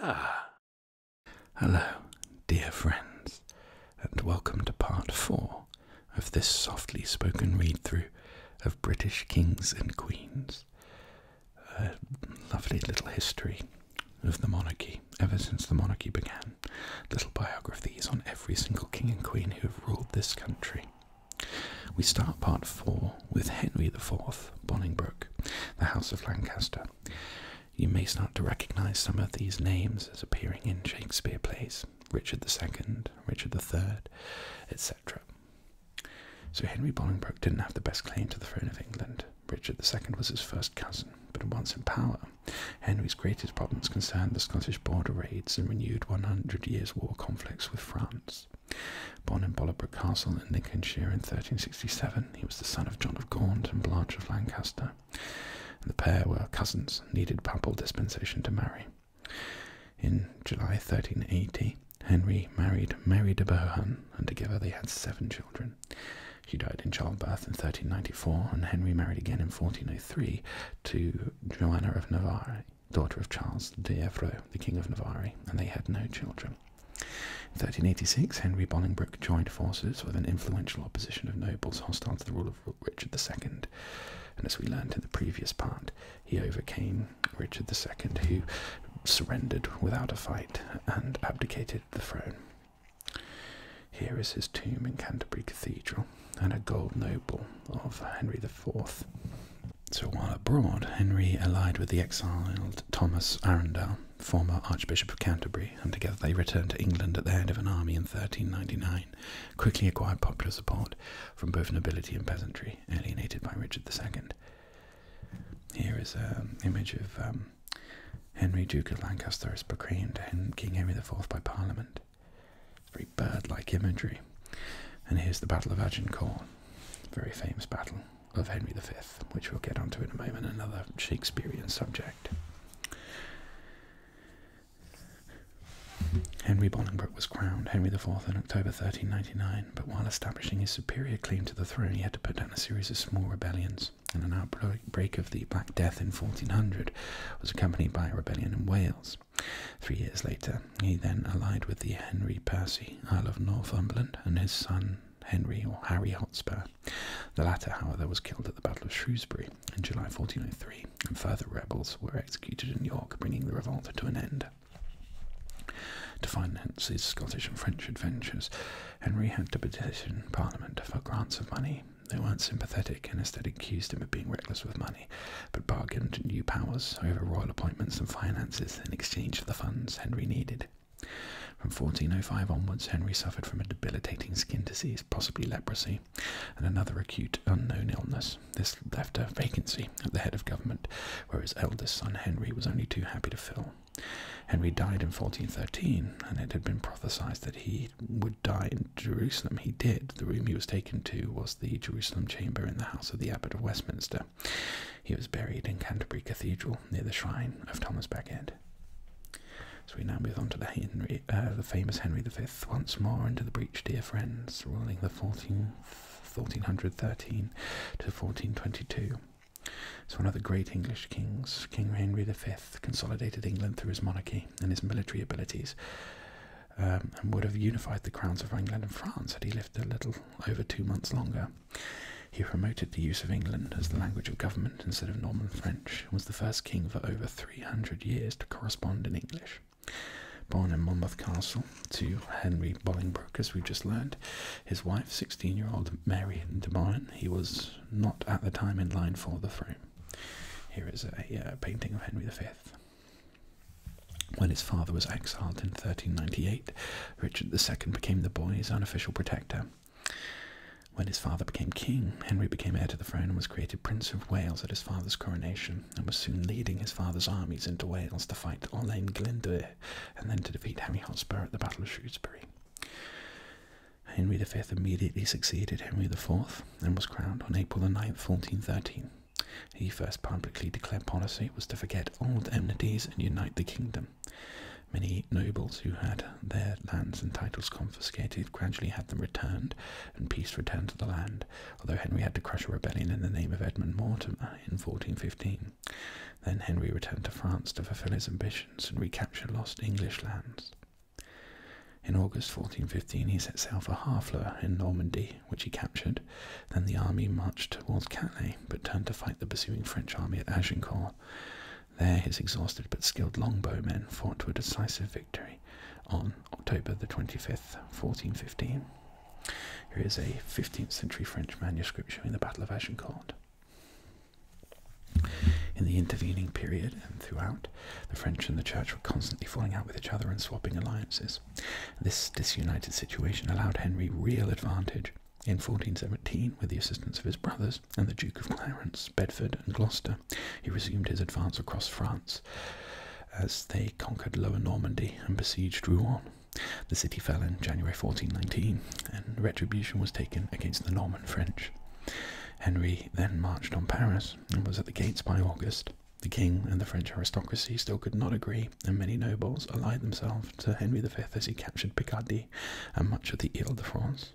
Ah. Hello, dear friends, and welcome to part four of this softly spoken read through of British kings and queens. A lovely little history of the monarchy ever since the monarchy began. Little biographies on every single king and queen who have ruled this country. We start part four with Henry IV, Bolingbroke, the House of Lancaster. You may start to recognize some of these names as appearing in Shakespeare plays Richard II, Richard III, etc. So Henry Bolingbroke didn't have the best claim to the throne of England. Richard II was his first cousin, but once in power, Henry's greatest problems concerned the Scottish border raids and renewed 100 years' war conflicts with France. Born in Bollebroke Castle in Lincolnshire in 1367, he was the son of John of Gaunt and Blanche of Lancaster, and the pair were cousins needed papal dispensation to marry. In July 1380, Henry married Mary de Bohun, and together they had seven children. She died in childbirth in 1394, and Henry married again in 1403 to Joanna of Navarre, daughter of Charles de Evreux, the King of Navarre, and they had no children. In 1386, Henry Bolingbroke joined forces with an influential opposition of nobles hostile to the rule of Richard II, and as we learned in the previous part, he overcame Richard II, who surrendered without a fight and abdicated the throne. Here is his tomb in Canterbury Cathedral and a gold noble of Henry IV. So while abroad, Henry allied with the exiled Thomas Arundel, former Archbishop of Canterbury, and together they returned to England at the head of an army in 1399, quickly acquired popular support from both nobility and peasantry, alienated by Richard II. Here is an um, image of um, Henry, Duke of Lancaster, as proclaimed King Henry IV by Parliament. Very bird like imagery. And here's the Battle of Agincourt, very famous battle of Henry V, which we'll get onto in a moment, another Shakespearean subject. Henry Bolingbroke was crowned Henry IV in October 1399, but while establishing his superior claim to the throne, he had to put down a series of small rebellions. And an outbreak of the Black Death in 1400 was accompanied by a rebellion in Wales. Three years later, he then allied with the Henry Percy, Earl of Northumberland, and his son Henry or Harry Hotspur. The latter, however, was killed at the Battle of Shrewsbury in July 1403, and further rebels were executed in York, bringing the revolt to an end. To finance his Scottish and French adventures, Henry had to petition Parliament for grants of money. They weren't sympathetic and instead accused him of being reckless with money, but bargained new powers over royal appointments and finances in exchange for the funds Henry needed. From 1405 onwards, Henry suffered from a debilitating skin disease, possibly leprosy, and another acute unknown illness. This left a vacancy at the head of government, where his eldest son Henry was only too happy to fill. Henry died in 1413, and it had been prophesied that he would die in Jerusalem. He did. The room he was taken to was the Jerusalem chamber in the house of the abbot of Westminster. He was buried in Canterbury Cathedral near the shrine of Thomas Becket. So we now move on to the, uh, famous Henry V once more into the breach, dear friends, ruling the 14th, 1413 to 1422. It's one of the great English kings, King Henry V consolidated England through his monarchy and his military abilities. Um, and would have unified the crowns of England and France had he lived a little over two months longer. He promoted the use of England as the language of government instead of Norman French, and was the first king for over 300 years to correspond in English. Born in Monmouth Castle to Henry Bolingbroke, as we've just learned, his wife, 16 year old Mary de Bourne, he was not at the time in line for the throne. Here is a uh, painting of Henry V. When his father was exiled in 1398, Richard II became the boy's unofficial protector. When his father became king, Henry became heir to the throne and was created Prince of Wales at his father's coronation, and was soon leading his father's armies into Wales to fight Olain Glyndwr and then to defeat Henry Hotspur at the Battle of Shrewsbury. Henry V immediately succeeded Henry IV and was crowned on April 9, 1413. He first publicly declared policy was to forget old enmities and unite the kingdom. Many nobles who had their lands and titles confiscated gradually had them returned, and peace returned to the land, although Henry had to crush a rebellion in the name of Edmund Mortimer in 1415. Then Henry returned to France to fulfill his ambitions and recapture lost English lands. In August 1415, he set sail for Harfleur in Normandy which he captured. Then the army marched towards Calais, but turned to fight the pursuing French army at Agincourt. There, his exhausted but skilled longbowmen fought to a decisive victory on October the 25th, 1415. Here is a 15th century French manuscript showing the Battle of Agincourt. In the intervening period and throughout, the French and the Church were constantly falling out with each other and swapping alliances. This disunited situation allowed Henry real advantage. In 1417, with the assistance of his brothers and the Duke of Clarence, Bedford, and Gloucester, he resumed his advance across France as they conquered Lower Normandy and besieged Rouen. The city fell in January 1419, and retribution was taken against the Norman French. Henry then marched on Paris and was at the gates by August. The king and the French aristocracy still could not agree, and many nobles allied themselves to Henry V as he captured Picardy and much of the Ile de France.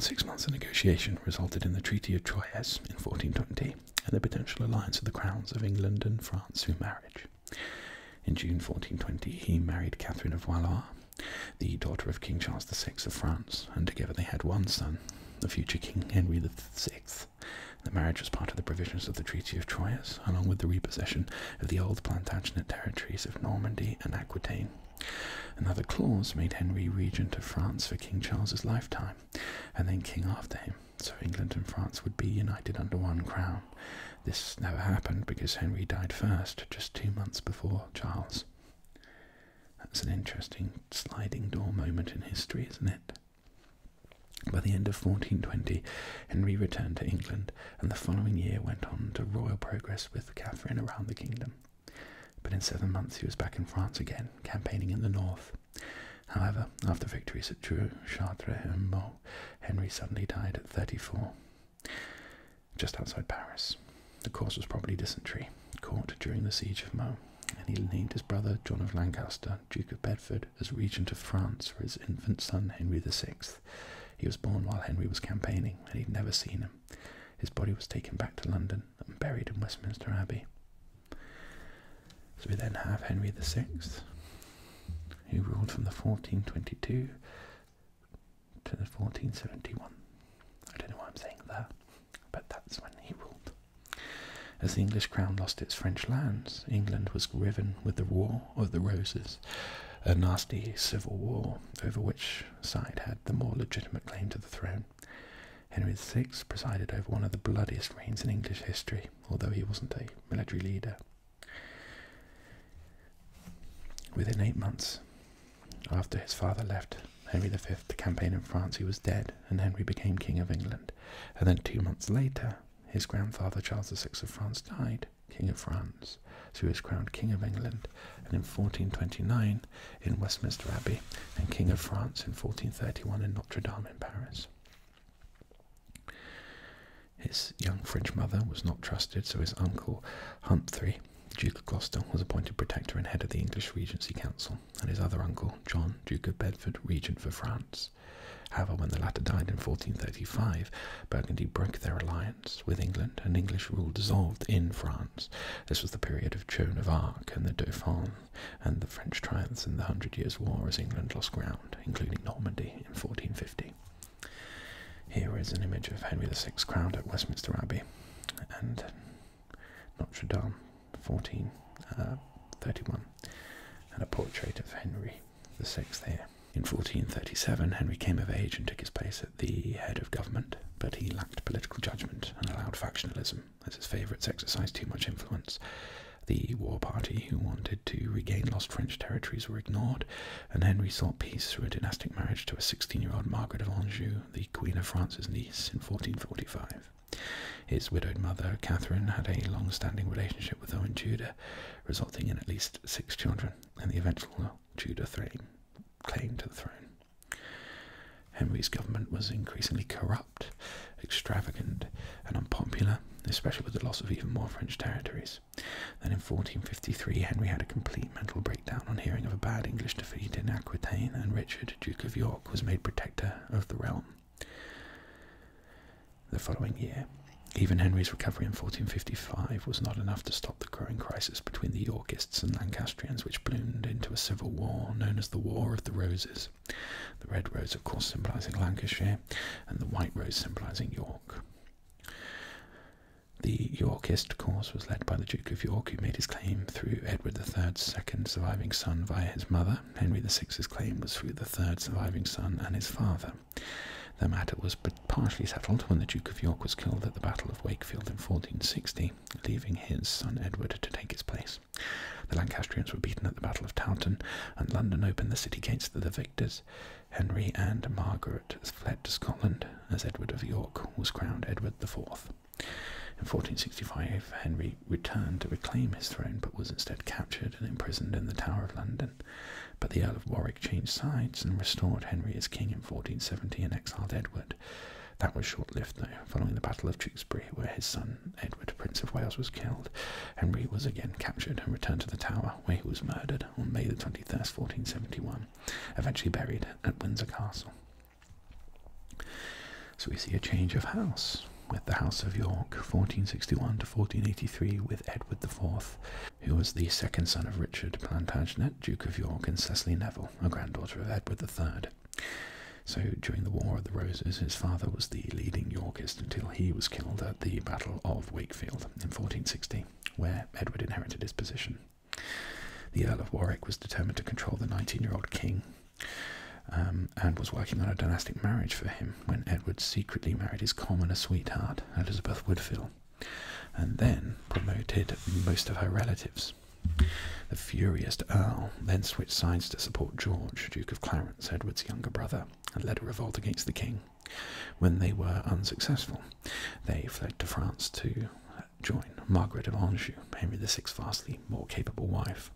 Six months of negotiation resulted in the Treaty of Troyes in 1420 and the potential alliance of the crowns of England and France through marriage. In June 1420, he married Catherine of Valois, the daughter of King Charles VI of France, and together they had one son, the future King Henry VI. The marriage was part of the provisions of the Treaty of Troyes, along with the repossession of the old Plantagenet territories of Normandy and Aquitaine. Another clause made Henry regent of France for King Charles's lifetime, and then king after him, so England and France would be united under one crown. This never happened because Henry died first, just two months before Charles. That's an interesting sliding door moment in history, isn't it? By the end of 1420, Henry returned to England and the following year went on to royal progress with Catherine around the kingdom. But in seven months he was back in France again, campaigning in the north. However, after victories at Dreux, Chartres, and Meaux, Henry suddenly died at 34, just outside Paris. The cause was probably dysentery, caught during the siege of Meaux, and he named his brother John of Lancaster, Duke of Bedford, as regent of France for his infant son Henry VI. He was born while Henry was campaigning and he'd never seen him. His body was taken back to London and buried in Westminster Abbey. So we then have Henry VI, who ruled from the 1422 to the 1471. I don't know why I'm saying that, but that's when he ruled. As the English crown lost its French lands, England was riven with the War of the Roses, a nasty civil war over which side had the more legitimate claim to the throne. Henry VI presided over one of the bloodiest reigns in English history, although he wasn't a military leader. Within eight months after his father left Henry V to campaign in France, he was dead, and Henry became King of England. And then two months later, his grandfather, Charles VI of France, died King of France, so he was crowned King of England, and in 1429 in Westminster Abbey, and King of France in 1431 in Notre Dame in Paris. His young French mother was not trusted, so his uncle Humphrey, Duke of Gloucester, was appointed protector and head of the English Regency Council, and his other uncle, John, Duke of Bedford, regent for France. However, when the latter died in 1435, Burgundy broke their alliance with England and English rule dissolved in France. This was the period of Joan of Arc and the Dauphin and the French triumphs in the Hundred Years' War as England lost ground, including Normandy in 1450. Here is an image of Henry VI crowned at Westminster Abbey and Notre Dame 1431, uh, and a portrait of Henry VI there. In 1437, Henry came of age and took his place at the head of government, but he lacked political judgment and allowed factionalism, as his favourites exercised too much influence. The war party, who wanted to regain lost French territories, were ignored, and Henry sought peace through a dynastic marriage to a 16 year old Margaret of Anjou, the Queen of France's niece, in 1445. His widowed mother, Catherine, had a long standing relationship with Owen Tudor, resulting in at least six children and the eventual Tudor claim to the throne. Henry's government was increasingly corrupt, extravagant, and unpopular, especially with the loss of even more French territories. Then in 1453, Henry had a complete mental breakdown on hearing of a bad English defeat in Aquitaine, and Richard, Duke of York, was made protector of the realm. The following year, even Henry's recovery in 1455 was not enough to stop the growing crisis between the Yorkists and Lancastrians, which bloomed into a civil war known as the War of the Roses. The red rose, of course, symbolising Lancashire, and the white rose symbolising York. The Yorkist cause was led by the Duke of York, who made his claim through Edward III's second surviving son via his mother, Henry VI's claim was through the third surviving son and his father. The matter was but partially settled when the Duke of York was killed at the Battle of Wakefield in 1460, leaving his son Edward to take his place. The Lancastrians were beaten at the Battle of Towton, and London opened the city gates to the victors. Henry and Margaret fled to Scotland as Edward of York was crowned Edward IV. In 1465, Henry returned to reclaim his throne but was instead captured and imprisoned in the Tower of London. But the Earl of Warwick changed sides and restored Henry as king in 1470 and exiled Edward. That was short lived though. Following the Battle of Tewkesbury, where his son Edward, Prince of Wales, was killed, Henry was again captured and returned to the Tower, where he was murdered on May the 1471, eventually buried at Windsor Castle. So we see a change of house with the House of York, 1461 to 1483, with Edward IV, who was the second son of Richard Plantagenet, Duke of York, and Cecily Neville, a granddaughter of Edward III. So during the War of the Roses, his father was the leading Yorkist until he was killed at the Battle of Wakefield in 1460, where Edward inherited his position. The Earl of Warwick was determined to control the 19 year old king um, and was working on a dynastic marriage for him when Edward secretly married his commoner sweetheart, Elizabeth Woodville, and then promoted most of her relatives. The furious Earl then switched sides to support George, Duke of Clarence, Edward's younger brother, and led a revolt against the king. When they were unsuccessful, they fled to France to join Margaret of Anjou, Henry VI's vastly more capable wife,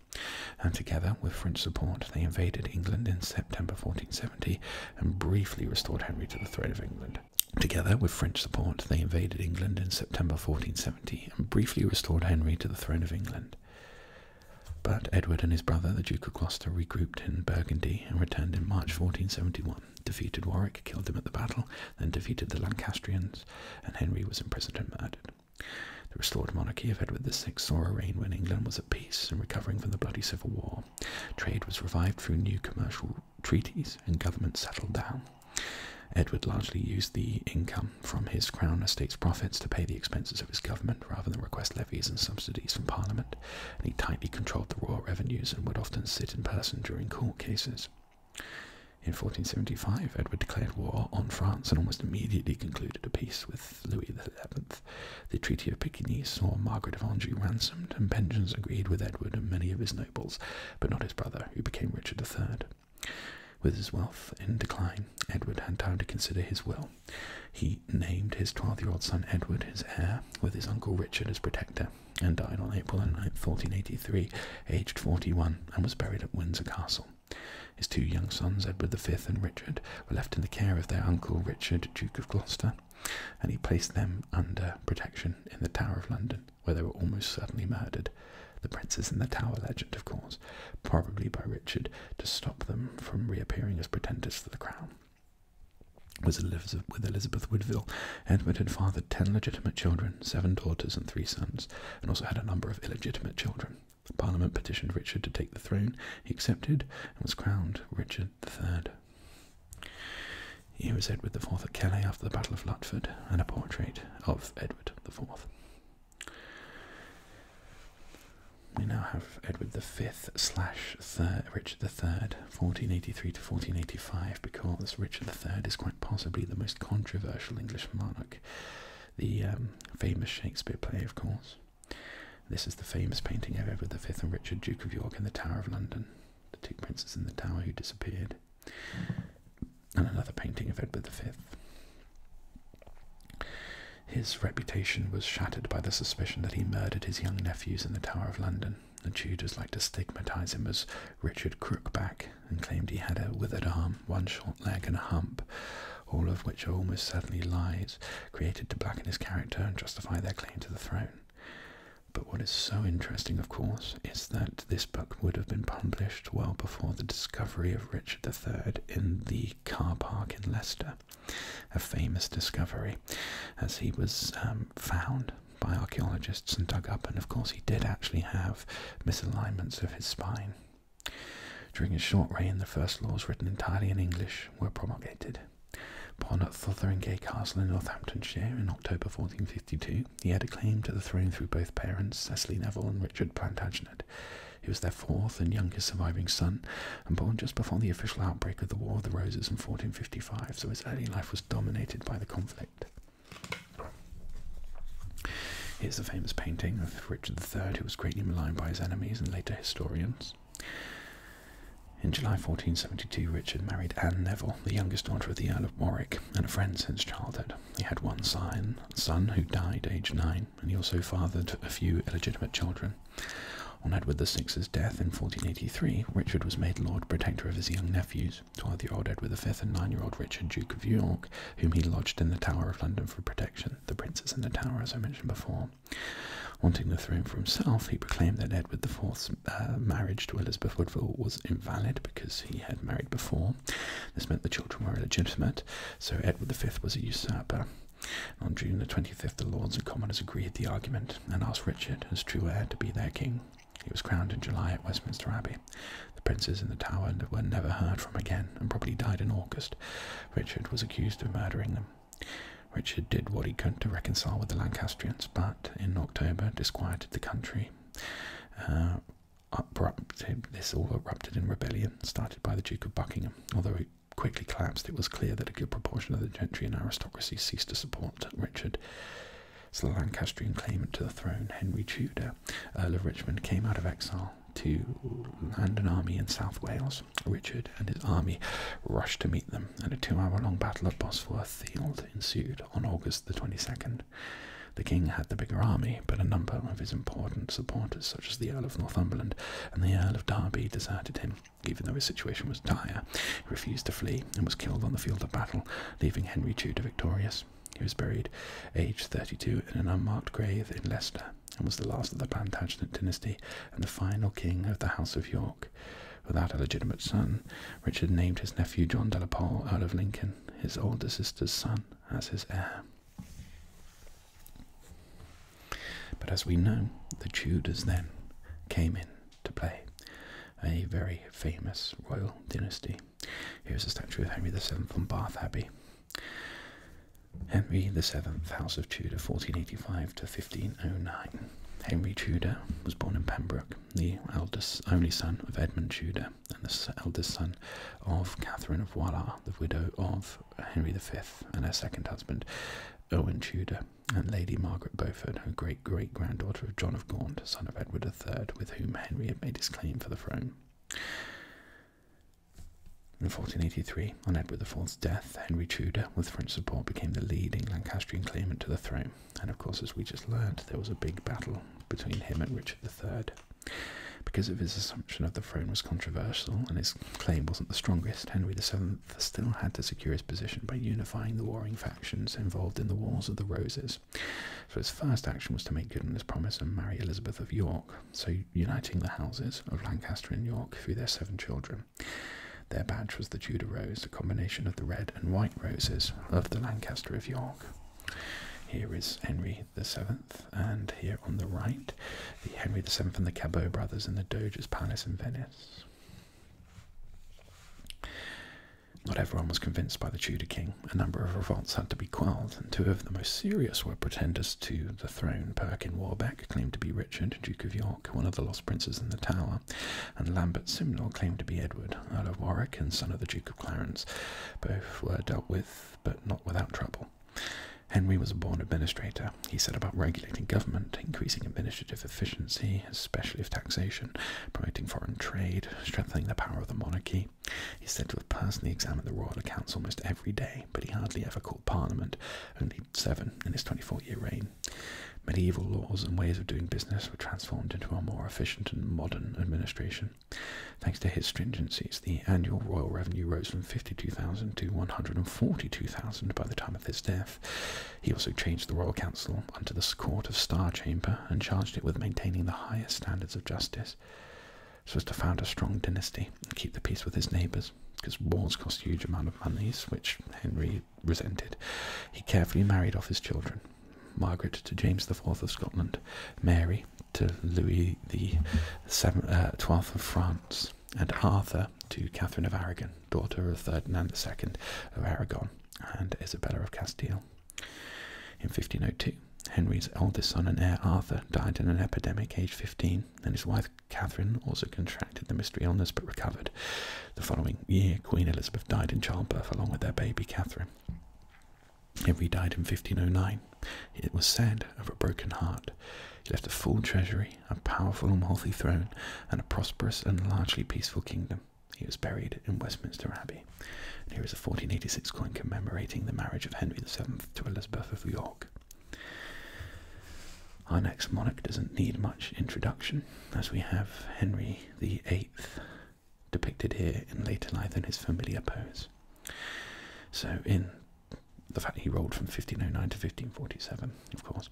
and together with French support they invaded England in September 1470 and briefly restored Henry to the throne of England. Together with French support they invaded England in September 1470 and briefly restored Henry to the throne of England. But Edward and his brother, the Duke of Gloucester, regrouped in Burgundy and returned in March 1471, defeated Warwick, killed him at the battle, then defeated the Lancastrians, and Henry was imprisoned and murdered. The restored monarchy of Edward VI saw a reign when England was at peace and recovering from the bloody Civil War. Trade was revived through new commercial treaties and government settled down. Edward largely used the income from his crown estate's profits to pay the expenses of his government rather than request levies and subsidies from Parliament, he tightly controlled the royal revenues and would often sit in person during court cases. In 1475, Edward declared war on France and almost immediately concluded to peace with Louis XI. The Treaty of Picquigny saw Margaret of Anjou ransomed and pensions agreed with Edward and many of his nobles, but not his brother, who became Richard III. With his wealth in decline, Edward had time to consider his will. He named his 12-year-old son Edward his heir, with his uncle Richard as protector, and died on April 9, 1483, aged 41, and was buried at Windsor Castle. His two young sons, Edward V and Richard, were left in the care of their uncle Richard, Duke of Gloucester, and he placed them under protection in the Tower of London, where they were almost certainly murdered. The princes in the Tower legend, of course, probably by Richard to stop them from reappearing as pretenders to the crown. with Elizabeth Woodville, Edward had fathered ten legitimate children, seven daughters, and three sons, and also had a number of illegitimate children. Parliament petitioned Richard to take the throne. He accepted and was crowned Richard III. Here is Edward IV at Calais after the Battle of Lutford, and a portrait of Edward IV. We now have Edward V slash Richard III, 1483 to 1485, because Richard III is quite possibly the most controversial English monarch the um, famous Shakespeare play, of course. This is the famous painting of Edward V and Richard, Duke of York, in the Tower of London, the two princes in the tower who disappeared, and another painting of Edward V. His reputation was shattered by the suspicion that he murdered his young nephews in the Tower of London, The Tudors liked to stigmatize him as Richard Crookback and claimed he had a withered arm, one short short leg and a hump, all of which are almost certainly lies created to blacken his character and justify their claim to the throne. But what is so interesting, of course, is that this book would have been published well before the discovery of Richard III in the car park in Leicester, a famous discovery, as he was um, found by archaeologists and dug up, and of course, he did actually have misalignments of his spine. During his short reign, the first laws written entirely in English were promulgated. Born at Fotheringay Castle in Northamptonshire in October 1452, he had a claim to the throne through both parents, Cecily Neville and Richard Plantagenet. He was their fourth and youngest surviving son, and born just before the official outbreak of the War of the Roses in 1455, so his early life was dominated by the conflict. Here's the famous painting of Richard III, who was greatly maligned by his enemies and later historians. In July 1472, Richard married Anne Neville, the youngest daughter of the Earl of Warwick, and a friend since childhood. He had one son, who died aged nine, and he also fathered a few illegitimate children. On Edward VI's death in 1483, Richard was made Lord Protector of his young nephews, 12-year-old Edward V and 9-year-old Richard, Duke of York, whom he lodged in the Tower of London for protection. The princes in the tower, as I mentioned before, wanting the throne for himself, he proclaimed that Edward IV's uh, marriage to Elizabeth Woodville was invalid because he had married before. This meant the children were illegitimate, so Edward V was a usurper. On June the 25th, the Lords and Commoners agreed the argument and asked Richard, as true heir, to be their king. He was crowned in July at Westminster Abbey. The princes in the tower were never heard from again and probably died in August. Richard was accused of murdering them. Richard did what he could to reconcile with the Lancastrians, but in October disquieted the country. Uh, this all erupted in rebellion, started by the Duke of Buckingham. Although it quickly collapsed, it was clear that a good proportion of the gentry and aristocracy ceased to support Richard. So the Lancastrian claimant to the throne, Henry Tudor, Earl of Richmond, came out of exile to land an army in South Wales. Richard and his army rushed to meet them, and a two-hour-long battle at Bosworth Field ensued on August the 22nd. The king had the bigger army, but a number of his important supporters, such as the Earl of Northumberland and the Earl of Derby, deserted him. Even though his situation was dire, he refused to flee and was killed on the field of battle, leaving Henry Tudor victorious. He was buried aged 32 in an unmarked grave in Leicester and was the last of the Plantagenet dynasty and the final king of the House of York. Without a legitimate son, Richard named his nephew John de la Pole, Earl of Lincoln, his older sister's son, as his heir. But as we know, the Tudors then came in to play, a very famous royal dynasty Here's a statue of Henry VII from Bath Abbey. Henry VII, House of Tudor, 1485 to 1509. Henry Tudor was born in Pembroke, the eldest only son of Edmund Tudor and the eldest son of Catherine of Valois, the widow of Henry V and her second husband, Owen Tudor, and Lady Margaret Beaufort, her great-great-granddaughter of John of Gaunt, son of Edward III, with whom Henry had made his claim for the throne. In 1483, on Edward IV's death, Henry Tudor, with French support, became the leading Lancastrian claimant to the throne. And of course, as we just learned, there was a big battle between him and Richard III. Because of his assumption of the throne was controversial and his claim wasn't the strongest, Henry VII still had to secure his position by unifying the warring factions involved in the Wars of the Roses. So his first action was to make good on his promise and marry Elizabeth of York so uniting the houses of Lancaster and York through their seven children. Their badge was the Tudor rose, a combination of the red and white roses of the Lancaster of York. Here is Henry VII, and here on the right, the Henry VII and the Cabot brothers in the Doge's Palace in Venice. Not everyone was convinced by the Tudor king a number of revolts had to be quelled, and two of the most serious were pretenders to the throne. Perkin Warbeck claimed to be Richard, Duke of York, one of the Lost Princes in the Tower, and Lambert Simnel claimed to be Edward, Earl of Warwick and son of the Duke of Clarence. Both were dealt with, but not without trouble. Henry was a born administrator. He set about regulating government, increasing administrative efficiency, especially of taxation, promoting foreign trade, strengthening the power of the monarchy, He's said to have personally examined the royal accounts almost every day, but he hardly ever called Parliament, only seven in his 24 year reign. Medieval laws and ways of doing business were transformed into a more efficient and modern administration. Thanks to his stringencies, the annual royal revenue rose from 52,000 to 142,000 by the time of his death. He also changed the royal council into the court of Star Chamber and charged it with maintaining the highest standards of justice so as to found a strong dynasty and keep the peace with his neighbours. Because wars cost huge amount of monies, which Henry resented, he carefully married off his children. Margaret to James IV of Scotland, Mary to Louis the uh, Twelfth of France, and Arthur to Catherine of Aragon, daughter of Ferdinand II of Aragon and Isabella of Castile. In 1502, Henry's eldest son and heir Arthur died in an epidemic aged 15, and his wife Catherine also contracted the mystery illness but recovered. The following year, Queen Elizabeth died in childbirth along with their baby Catherine. Henry died in 1509. It was said of a broken heart. He left a full treasury, a powerful and wealthy throne, and a prosperous and largely peaceful kingdom. He was buried in Westminster Abbey here is a 1486 coin commemorating the marriage of Henry VII to Elizabeth of York. Our next monarch doesn't need much introduction, as we have Henry VIII depicted here in later life in his familiar pose. So, in the fact he ruled from 1509 to 1547, of course,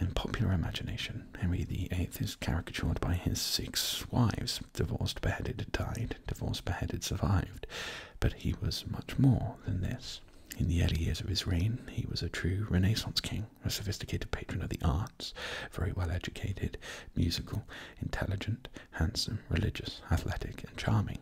in popular imagination, Henry VIII is caricatured by his six wives, divorced, beheaded, died, divorced, beheaded, survived. But he was much more than this. In the early years of his reign, he was a true Renaissance king, a sophisticated patron of the arts, very well educated, musical, intelligent, handsome, religious, athletic, and charming.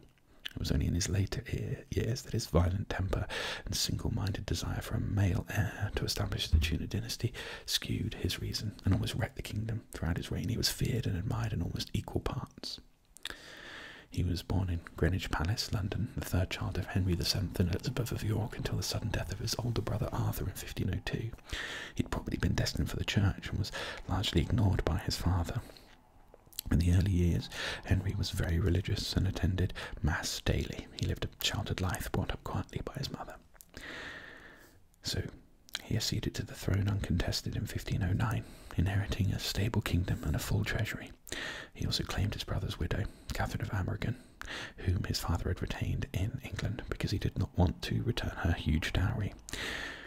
It was only in his later years that his violent temper and single minded desire for a male heir to establish the Tudor dynasty skewed his reason and always the kingdom. Throughout his reign, he was feared and admired in almost equal parts. He was born in Greenwich Palace, London, the third child of Henry VII and Elizabeth of York until the sudden death of his older brother Arthur in 1502. He'd probably been destined for the church and was largely ignored by his father. In the early years, Henry was very religious and attended Mass daily. He lived a sheltered life brought up quietly by his mother. So he acceded to the throne uncontested in 1509, inheriting a stable kingdom and a full treasury. He also claimed his brother's widow, Catherine of Ambergen, whom his father had retained in England because he did not want to return her huge dowry.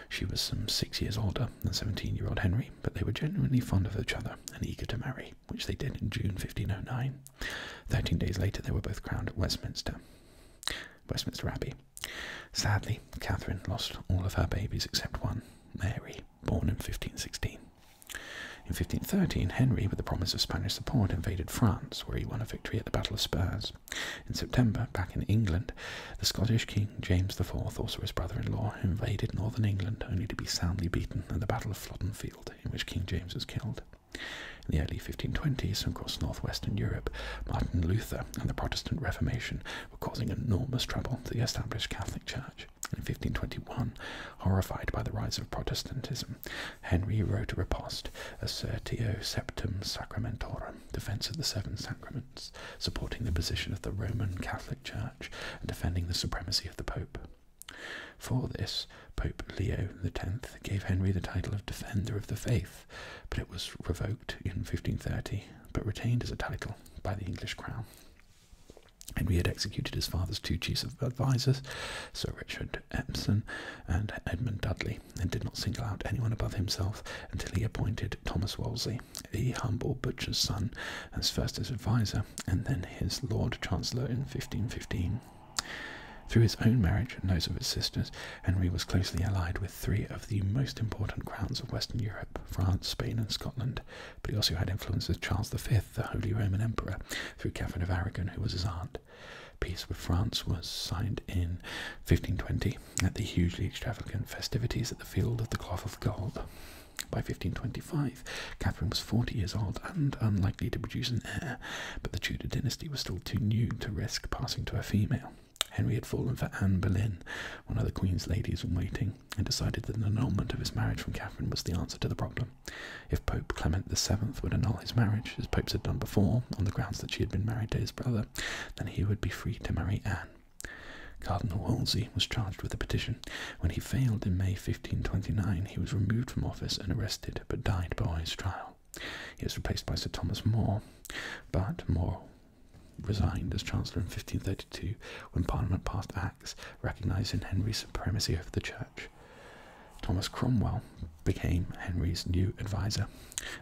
She was some six years older than 17 year old Henry, but they were genuinely fond of each other and eager to marry, which they did in June 1509. Thirteen days later, they were both crowned at Westminster. Westminster Abbey Sadly, Catherine lost all of her babies except one, Mary, born in 1516. In 1513, Henry, with the promise of Spanish support, invaded France, where he won a victory at the Battle of Spurs. In September, back in England, the Scottish King James IV, also his brother in law, invaded northern England only to be soundly beaten at the Battle of Flodden Field, in which King James was killed. In the early 1520s, across northwestern Europe, Martin Luther and the Protestant Reformation were causing enormous trouble to the established Catholic Church. In 1521, horrified by the rise of Protestantism, Henry wrote a riposte, Assertio septem Sacramentorum, Defense of the Seven Sacraments, supporting the position of the Roman Catholic Church and defending the supremacy of the Pope. For this, Pope Leo X gave Henry the title of Defender of the Faith, but it was revoked in 1530 but retained as a title by the English crown. Henry had executed his father's two chief advisers, Sir Richard Epson and Edmund Dudley, and did not single out anyone above himself until he appointed Thomas Wolsey, the humble butcher's son, as first his adviser and then his Lord Chancellor in 1515. Through his own marriage and those of his sisters, Henry was closely allied with three of the most important crowns of Western Europe France, Spain, and Scotland. But he also had influence with Charles V, the Holy Roman Emperor, through Catherine of Aragon, who was his aunt. Peace with France was signed in 1520 at the hugely extravagant festivities at the Field of the Cloth of Gold. By 1525, Catherine was 40 years old and unlikely to produce an heir, but the Tudor dynasty was still too new to risk passing to a female. Henry had fallen for Anne Boleyn, one of the Queen's ladies in waiting, and decided that an annulment of his marriage from Catherine was the answer to the problem. If Pope Clement VII would annul his marriage, as popes had done before, on the grounds that she had been married to his brother, then he would be free to marry Anne. Cardinal Wolsey was charged with the petition. When he failed in May 1529, he was removed from office and arrested, but died before his trial. He was replaced by Sir Thomas More, but More resigned as Chancellor in 1532 when Parliament passed Acts recognising Henry's supremacy over the Church. Thomas Cromwell became Henry's new adviser,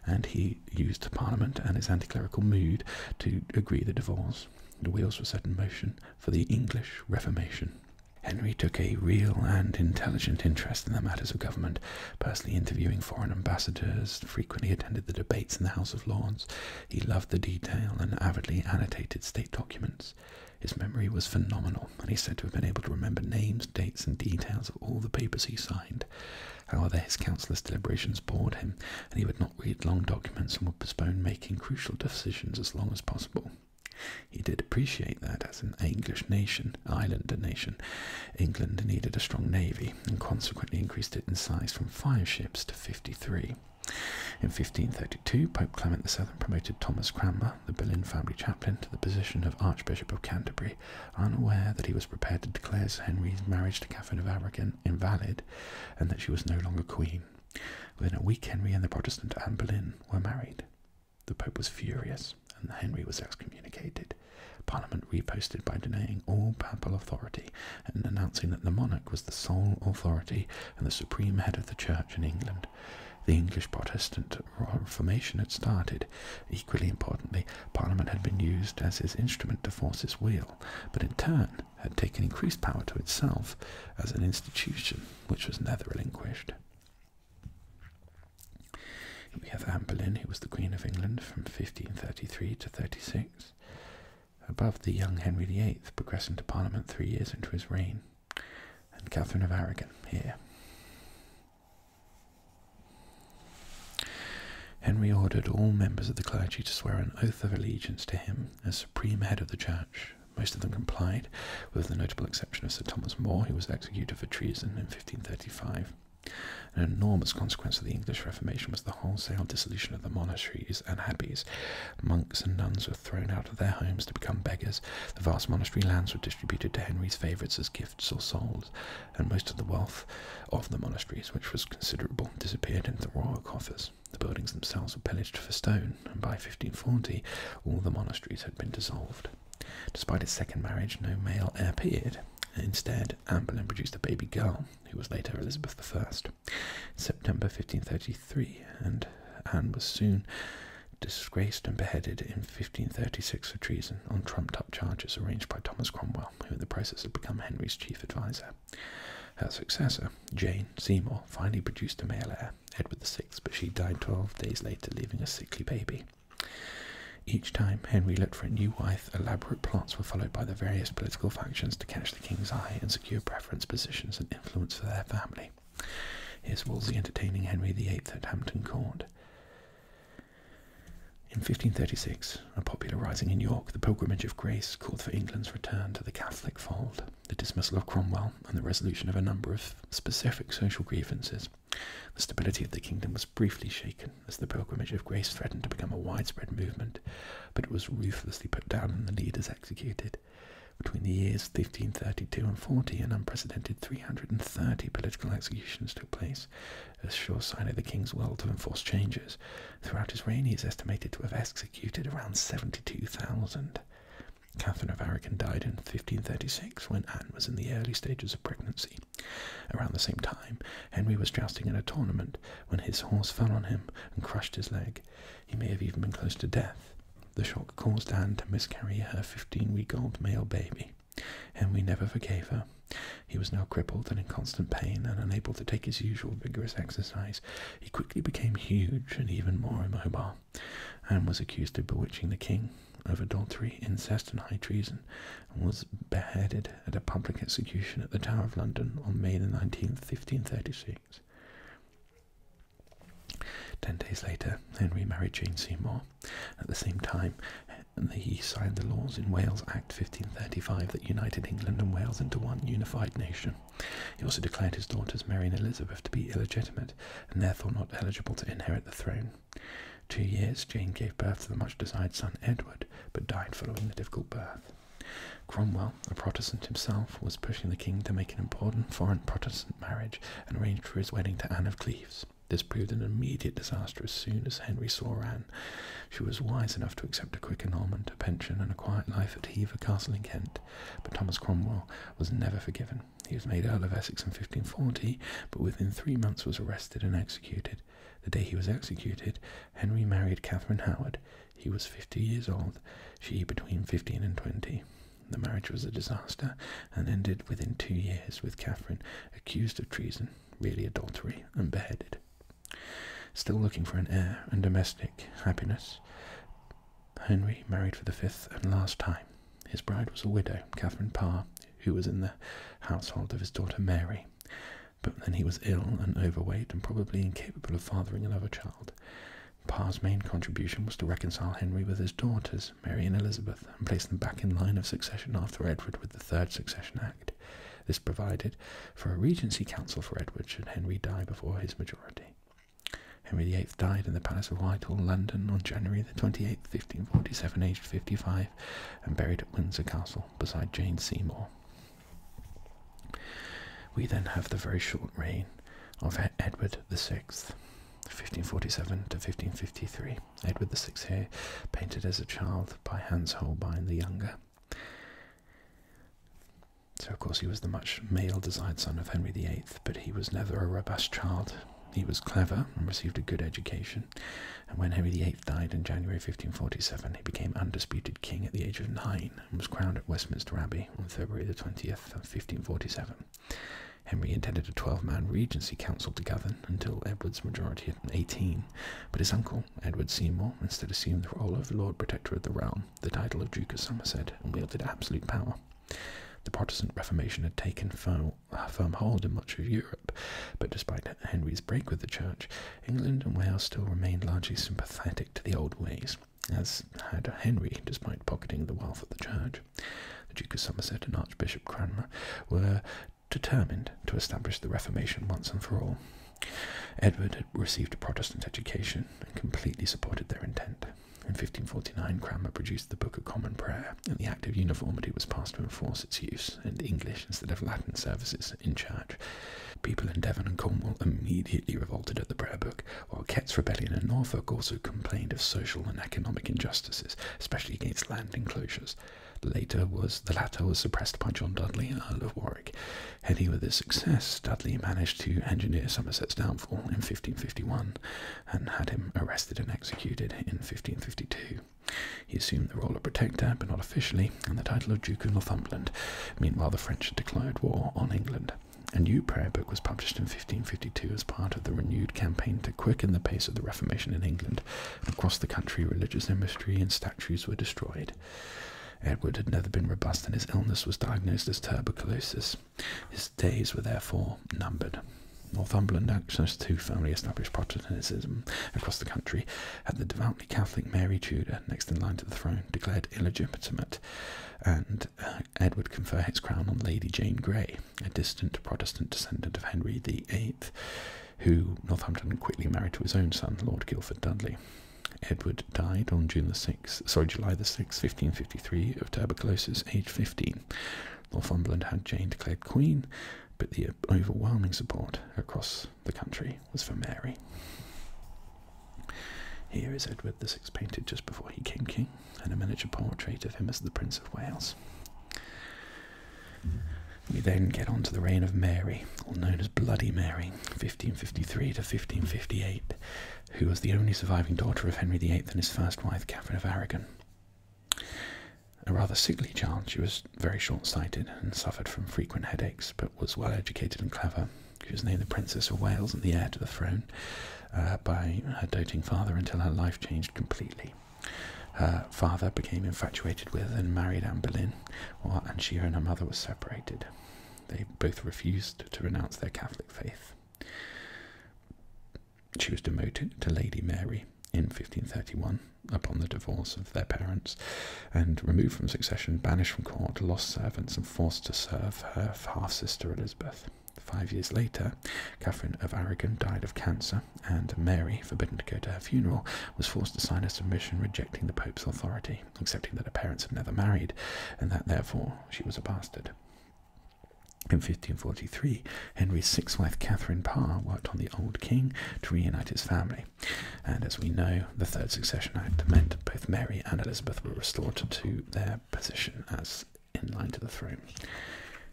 and he used Parliament and his anti clerical mood to agree the divorce. The wheels were set in motion for the English Reformation. Henry took a real and intelligent interest in the matters of government personally interviewing foreign ambassadors, frequently attended the debates in the House of Lords. He loved the detail and avidly annotated state documents. His memory was phenomenal, and he is said to have been able to remember names, dates, and details of all the papers he signed. However, his councillors' deliberations bored him, and he would not read long documents and would postpone making crucial decisions as long as possible. He did appreciate that, as an English nation, Island nation. England needed a strong navy and consequently increased it in size from five ships to 53. In 1532, Pope Clement VII promoted Thomas Cranmer, the Boleyn family chaplain, to the position of Archbishop of Canterbury, unaware that he was prepared to declare Henry's marriage to Catherine of Aragon invalid and that she was no longer queen. Within a week, Henry and the Protestant Anne Boleyn were married. The Pope was furious and Henry was excommunicated. Parliament reposted by denying all papal authority and announcing that the monarch was the sole authority and the supreme head of the church in England. The English Protestant Reformation had started. Equally importantly, Parliament had been used as his instrument to force his will, but in turn had taken increased power to itself as an institution which was never relinquished. We have Anne Boleyn, who was the Queen of England from 1533 to 36, above the young Henry VIII, progressing to Parliament three years into his reign, and Catherine of Aragon here. Henry ordered all members of the clergy to swear an oath of allegiance to him as supreme head of the church. Most of them complied, with the notable exception of Sir Thomas More, who was executed for treason in 1535. An enormous consequence of the English Reformation was the wholesale dissolution of the monasteries and abbeys. Monks and nuns were thrown out of their homes to become beggars. The vast monastery lands were distributed to Henry's favourites as gifts or sold, and most of the wealth of the monasteries, which was considerable, disappeared into royal coffers. The buildings themselves were pillaged for stone, and by 1540 all the monasteries had been dissolved. Despite his second marriage, no male heir appeared. Instead, had Anne Boleyn produced a baby girl, who was later Elizabeth I, September 1533, and Anne was soon disgraced and beheaded in 1536 for treason on trumped-up charges arranged by Thomas Cromwell, who in the process had become Henry's chief adviser. Her successor, Jane Seymour, finally produced a male heir, Edward VI, but she died 12 days later, leaving a sickly baby. Each time Henry looked for a new wife, elaborate plots were followed by the various political factions to catch the king's eye and secure preference positions and influence for their family. Here's Wolsey entertaining Henry VIII at Hampton Court. In 1536, a popular rising in York, the Pilgrimage of Grace called for England's return to the Catholic fold. The dismissal of Cromwell and the resolution of a number of specific social grievances the stability of the kingdom was briefly shaken as the pilgrimage of grace threatened to become a widespread movement, but it was ruthlessly put down and the leaders executed. Between the years 1532 and 40, an unprecedented 330 political executions took place, a sure sign of the king's will to enforce changes. Throughout his reign, he is estimated to have executed around 72,000. Catherine of Aragon died in 1536 when Anne was in the early stages of pregnancy. Around the same time, Henry was jousting in a tournament when his horse fell on him and crushed his leg. He may have even been close to death. The shock caused Anne to miscarry her 15 week old male baby. Henry never forgave her. He was now crippled and in constant pain and unable to take his usual vigorous exercise. He quickly became huge and even more immobile. Anne was accused of bewitching the king of adultery, incest, and high treason, and was beheaded at a public execution at the Tower of London on May the 19th, 1536. Ten days later, Henry married Jane Seymour. At the same time, he signed the laws in Wales Act 1535 that united England and Wales into one unified nation. He also declared his daughters Mary and Elizabeth to be illegitimate and therefore not eligible to inherit the throne two years, Jane gave birth to the much desired son Edward, but died following the difficult birth. Cromwell, a Protestant himself, was pushing the king to make an important foreign Protestant marriage and arranged for his wedding to Anne of Cleves. This proved an immediate disaster as soon as Henry saw Anne. She was wise enough to accept a quick annulment, a pension, and a quiet life at Hever Castle in Kent. But Thomas Cromwell was never forgiven. He was made Earl of Essex in 1540, but within three months was arrested and executed, the day he was executed, Henry married Catherine Howard. He was 50 years old, she between 15 and 20. The marriage was a disaster and ended within two years with Catherine accused of treason, really adultery, and beheaded. Still looking for an heir and domestic happiness, Henry married for the fifth and last time. His bride was a widow, Catherine Parr, who was in the household of his daughter Mary. But then he was ill and overweight and probably incapable of fathering another child. Parr's main contribution was to reconcile Henry with his daughters, Mary and Elizabeth, and place them back in line of succession after Edward with the Third Succession Act. This provided for a regency council for Edward should Henry die before his majority. Henry VIII died in the Palace of Whitehall, London, on January the 28th, 1547, aged 55, and buried at Windsor Castle beside Jane Seymour. We then have the very short reign of Edward the Sixth, 1547 to 1553. Edward VI here, painted as a child by Hans Holbein the Younger. So, of course, he was the much male desired son of Henry the Eighth, but he was never a robust child. He was clever and received a good education, and when Henry VIII died in January 1547, he became undisputed king at the age of nine and was crowned at Westminster Abbey on February the 20th 1547. Henry intended a 12-man regency council to govern until Edward's majority at 18, but his uncle, Edward Seymour, instead assumed the role of Lord Protector of the Realm, the title of Duke of Somerset, and wielded absolute power. The Protestant Reformation had taken firm a firm hold in much of Europe. But despite Henry's break with the church, England and Wales still remained largely sympathetic to the old ways, as had Henry, despite pocketing the wealth of the church. The Duke of Somerset and Archbishop Cranmer were determined to establish the Reformation once and for all. Edward had received a Protestant education and completely supported their intent. In 1549, Cranmer produced the Book of Common Prayer, and the Act of Uniformity was passed to enforce its use in English instead of Latin services in church. People in Devon and Cornwall immediately revolted at the prayer book, while Kett's rebellion in Norfolk also complained of social and economic injustices, especially against land enclosures. Later was the latter was suppressed by John Dudley, Earl of Warwick. Heady with his success, Dudley managed to engineer Somerset's downfall in 1551 and had him arrested and executed in 1552. He assumed the role of protector, but not officially, and the title of Duke of Northumberland. Meanwhile, the French had declared war on England. A new prayer book was published in 1552 as part of the renewed campaign to quicken the pace of the Reformation in England. Across the country, religious imagery and statues were destroyed. Edward had never been robust, and his illness was diagnosed as tuberculosis. His days were therefore numbered. Northumberland access to firmly established Protestantism across the country had the devoutly Catholic Mary Tudor, next in line to the throne, declared illegitimate, and uh, Edward confer his crown on Lady Jane Grey, a distant Protestant descendant of Henry VIII, who Northumberland quickly married to his own son, Lord Guildford Dudley. Edward died on June the 6th, sorry, July the 6th, 1553, of tuberculosis, aged 15. Northumberland had Jane declared queen, but the overwhelming support across the country was for Mary. Here is Edward VI painted just before he became king, and a miniature portrait of him as the Prince of Wales. We then get on to the reign of Mary, known as Bloody Mary, 1553 to 1558, who was the only surviving daughter of Henry VIII and his first wife, Catherine of Aragon. A rather sickly child, she was very short sighted and suffered from frequent headaches, but was well educated and clever. She was named the Princess of Wales and the heir to the throne uh, by her doting father until her life changed completely. Her father became infatuated with and married Anne Boleyn, and she and her mother were separated. They both refused to renounce their Catholic faith. She was demoted to Lady Mary in 1531 upon the divorce of their parents and removed from succession, banished from court, lost servants, and forced to serve her half sister Elizabeth. Five years later, Catherine of Aragon died of cancer, and Mary, forbidden to go to her funeral, was forced to sign a submission rejecting the Pope's authority, accepting that her parents had never married, and that therefore she was a bastard. In 1543, Henry's sixth wife Catherine Parr worked on the old king to reunite his family, and as we know, the Third Succession Act meant both Mary and Elizabeth were restored to their position as in line to the throne.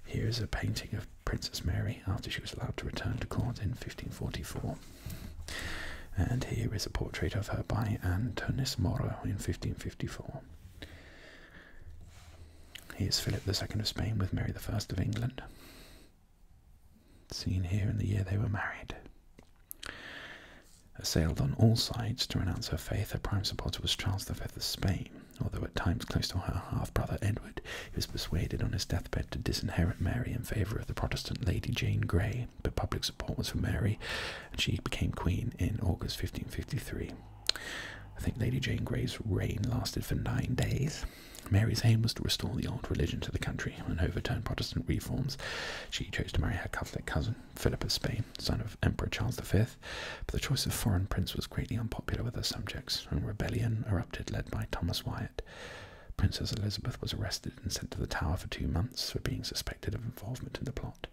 Here is a painting of Princess Mary after she was allowed to return to court in 1544. And here is a portrait of her by Antonis Moro in 1554. Here is is Philip II of Spain with Mary I of England. Seen here in the year they were married. Assailed on all sides to renounce her faith, her prime supporter was Charles V of Spain, although at times close to her half brother Edward, he was persuaded on his deathbed to disinherit Mary in favour of the Protestant Lady Jane Grey, but public support was for Mary, and she became queen in August 1553. I think Lady Jane Grey's reign lasted for nine days. Mary's aim was to restore the old religion to the country and overturn Protestant reforms. She chose to marry her Catholic cousin, Philip of Spain, son of Emperor Charles V, but the choice of foreign prince was greatly unpopular with her subjects, and rebellion erupted led by Thomas Wyatt. Princess Elizabeth was arrested and sent to the Tower for two months for being suspected of involvement in the plot.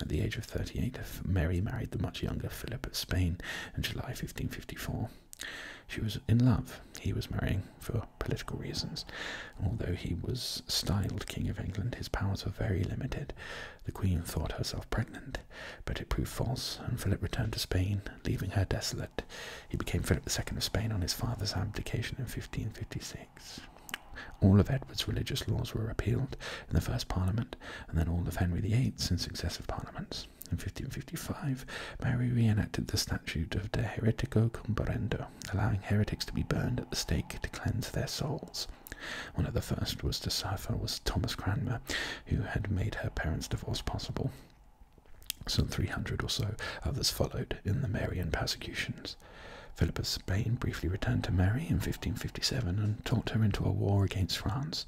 At the age of 38, Mary married the much younger Philip of Spain in July 1559. She was in love. He was marrying for political reasons. Although he was styled King of England, his powers were very limited. The Queen thought herself pregnant, but it proved false, and Philip returned to Spain, leaving her desolate. He became Philip II of Spain on his father's abdication in 1556. All of Edward's religious laws were repealed in the first Parliament, and then all of Henry VIII's in successive Parliaments. In 1555, Mary reenacted the statute of De Heretico Comparendo, allowing heretics to be burned at the stake to cleanse their souls. One of the first was to suffer was Thomas Cranmer, who had made her parents' divorce possible. Some 300 or so others followed in the Marian persecutions. Philip of Spain briefly returned to Mary in 1557 and talked her into a war against France.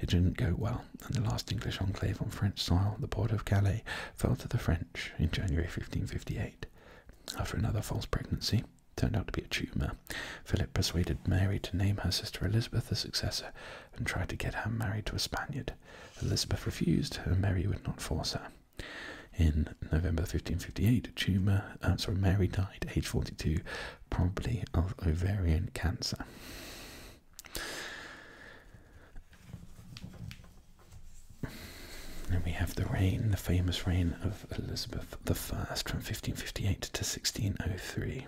It didn't go well, and the last English enclave on French soil, the port of Calais, fell to the French in January 1558. After another false pregnancy, turned out to be a tumour, Philip persuaded Mary to name her sister Elizabeth the successor and tried to get her married to a Spaniard. Elizabeth refused, and Mary would not force her. In November 1558, a tumor, uh, sorry, Mary died, aged 42, probably of ovarian cancer. And we have the reign, the famous reign of Elizabeth I from 1558 to 1603.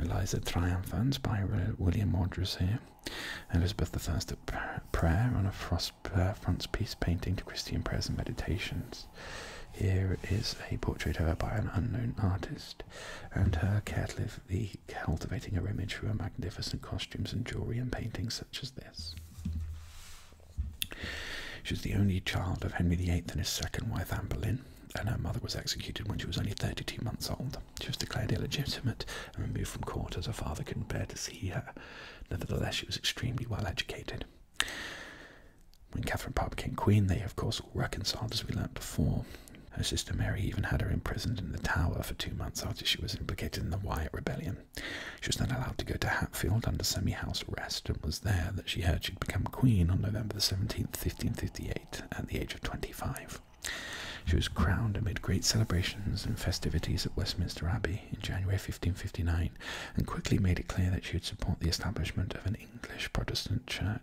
Eliza triumphs by William Modrus here. Elizabeth I at prayer on a piece painting to Christian prayers and meditations. Here is a portrait of her by an unknown artist, and her carefully cultivating her image through her magnificent costumes and jewelry and paintings such as this. She was the only child of Henry VIII and his second wife Anne Boleyn, and her mother was executed when she was only 32 months old. She was declared illegitimate and removed from court as her father couldn't bear to see her. Nevertheless, she was extremely well educated. When Catherine Parr became queen, they of course all reconciled as we learnt before. Her sister Mary even had her imprisoned in the Tower for two months after she was implicated in the Wyatt Rebellion. She was then allowed to go to Hatfield under semi house arrest, and was there that she heard she'd become queen on November the 17th, 1558, at the age of 25. She was crowned amid great celebrations and festivities at Westminster Abbey in January 1559, and quickly made it clear that she would support the establishment of an English Protestant church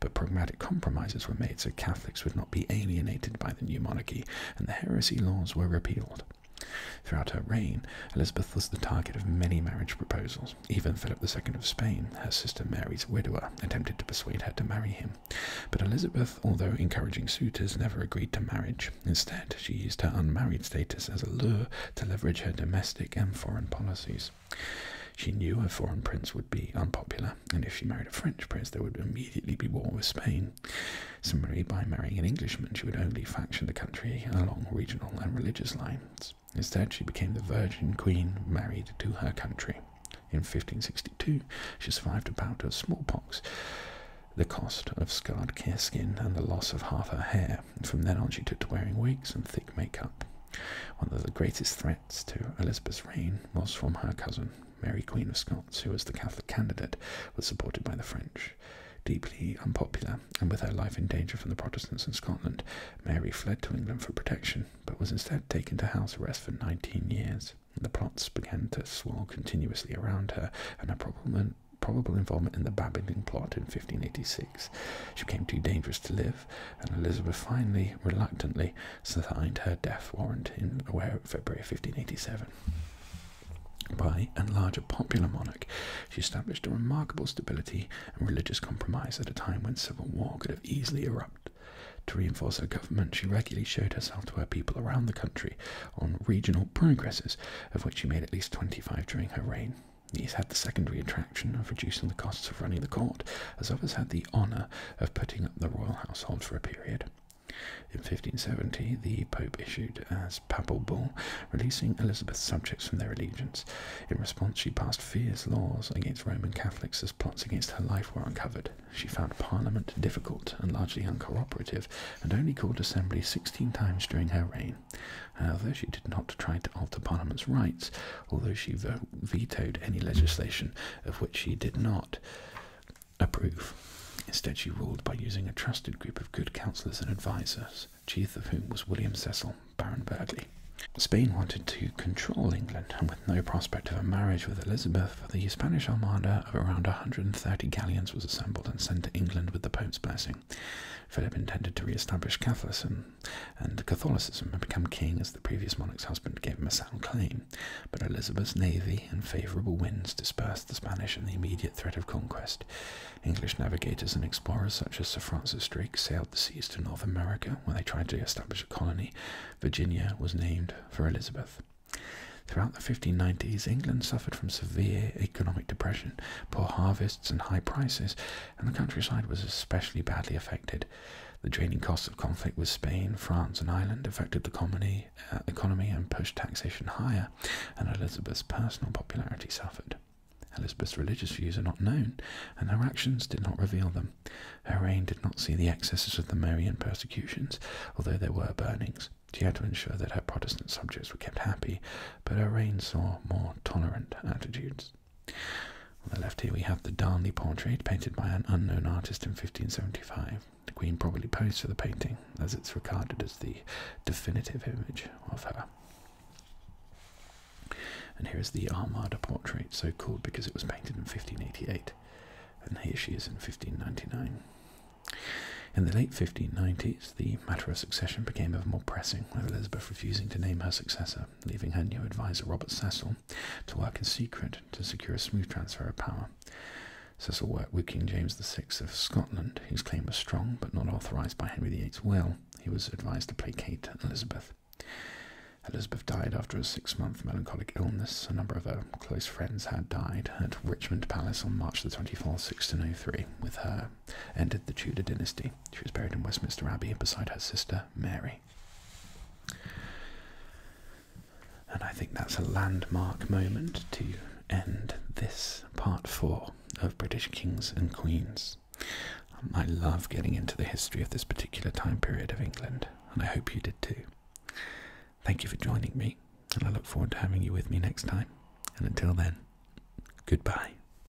but pragmatic compromises were made so Catholics would not be alienated by the new monarchy, and the heresy laws were repealed. Throughout her reign, Elizabeth was the target of many marriage proposals. Even Philip II of Spain, her sister Mary's widower, attempted to persuade her to marry him. But Elizabeth, although encouraging suitors, never agreed to marriage. Instead, she used her unmarried status as a lure to leverage her domestic and foreign policies. She knew a foreign prince would be unpopular, and if she married a French prince, there would immediately be war with Spain. Similarly, by marrying an Englishman, she would only faction the country along regional and religious lines. Instead, she became the Virgin Queen, married to her country. In 1562, she survived a bout of smallpox, the cost of scarred skin, and the loss of half her hair. From then on, she took to wearing wigs and thick makeup. One of the greatest threats to Elizabeth's reign was from her cousin, Mary Queen of Scots, who as the Catholic candidate was supported by the French. Deeply unpopular, and with her life in danger from the Protestants in Scotland, Mary fled to England for protection, but was instead taken to house arrest for 19 years. The plots began to swirl continuously around her, and her probable involvement in the Babington plot in 1586 she became too dangerous to live, and Elizabeth finally, reluctantly, signed her death warrant in February 1587. By and large a popular monarch, she established a remarkable stability and religious compromise at a time when civil war could have easily erupted. To reinforce her government, she regularly showed herself to her people around the country on regional progresses, of which she made at least 25 during her reign. He's had the secondary attraction of reducing the costs of running the court, as others had the honour of putting up the royal household for a period. In 1570, the Pope issued as Papal Bull, releasing Elizabeth's subjects from their allegiance. In response, she passed fierce laws against Roman Catholics as plots against her life were uncovered. She found Parliament difficult and largely uncooperative, and only called assembly 16 times during her reign, Queen. Uh, However, she did not try to alter Parliament's rights, although she vetoed any legislation of which she did not approve. Instead, she ruled by using a trusted group of good counsellors and advisers, chief of whom was William Cecil, Baron Burghley. Spain wanted to control England, and with no prospect of a marriage with Elizabeth, the Spanish armada of around a 130 galleons was assembled and sent to England with the Pope's blessing. Philip intended to re establish Catholicism and Catholicism had become king as the previous monarch's husband gave him a sound claim. But Elizabeth's navy and favourable winds dispersed the Spanish and the immediate threat of conquest. English navigators and explorers such as Sir Francis Drake sailed the seas to North America where they tried to establish a colony. Virginia was named for Elizabeth. Throughout the 1590s, England suffered from severe economic depression, poor harvests, and high prices, and the countryside was especially badly affected. The draining costs of conflict with Spain, France, and Ireland affected the uh, economy and pushed taxation higher, and Elizabeth's personal popularity suffered. Elizabeth's religious views are not known, and her actions did not reveal them. Her reign did not see the excesses of the Marian persecutions, although there were burnings. She had to ensure that her Protestant subjects were kept happy, but her reign saw more tolerant attitudes. On the left here we have the Darnley portrait painted by an unknown artist in 1575. The Queen probably posed for the painting, as it's regarded as the definitive image of her. And here is the Armada portrait, so called because it was painted in 1588, and here she is in 1599. In the late 1590s, the matter of succession became ever more pressing, with Elizabeth refusing to name her successor leaving her new advisor Robert Cecil to work in secret to secure a smooth transfer of power. Cecil worked with King James VI of Scotland, whose claim was strong but not authorised by Henry VIII's will. He was advised to placate Elizabeth. Elizabeth died after a six month melancholic illness. A number of her close friends had died at Richmond Palace on March the 24th, 1603, with her ended the Tudor dynasty. She was buried in Westminster Abbey beside her sister Mary. And I think that's a landmark moment to end this part four of British kings and queens. I love getting into the history of this particular time period of England, and I hope you did too. Thank you for joining me, and I look forward to having you with me next time. And until then, goodbye.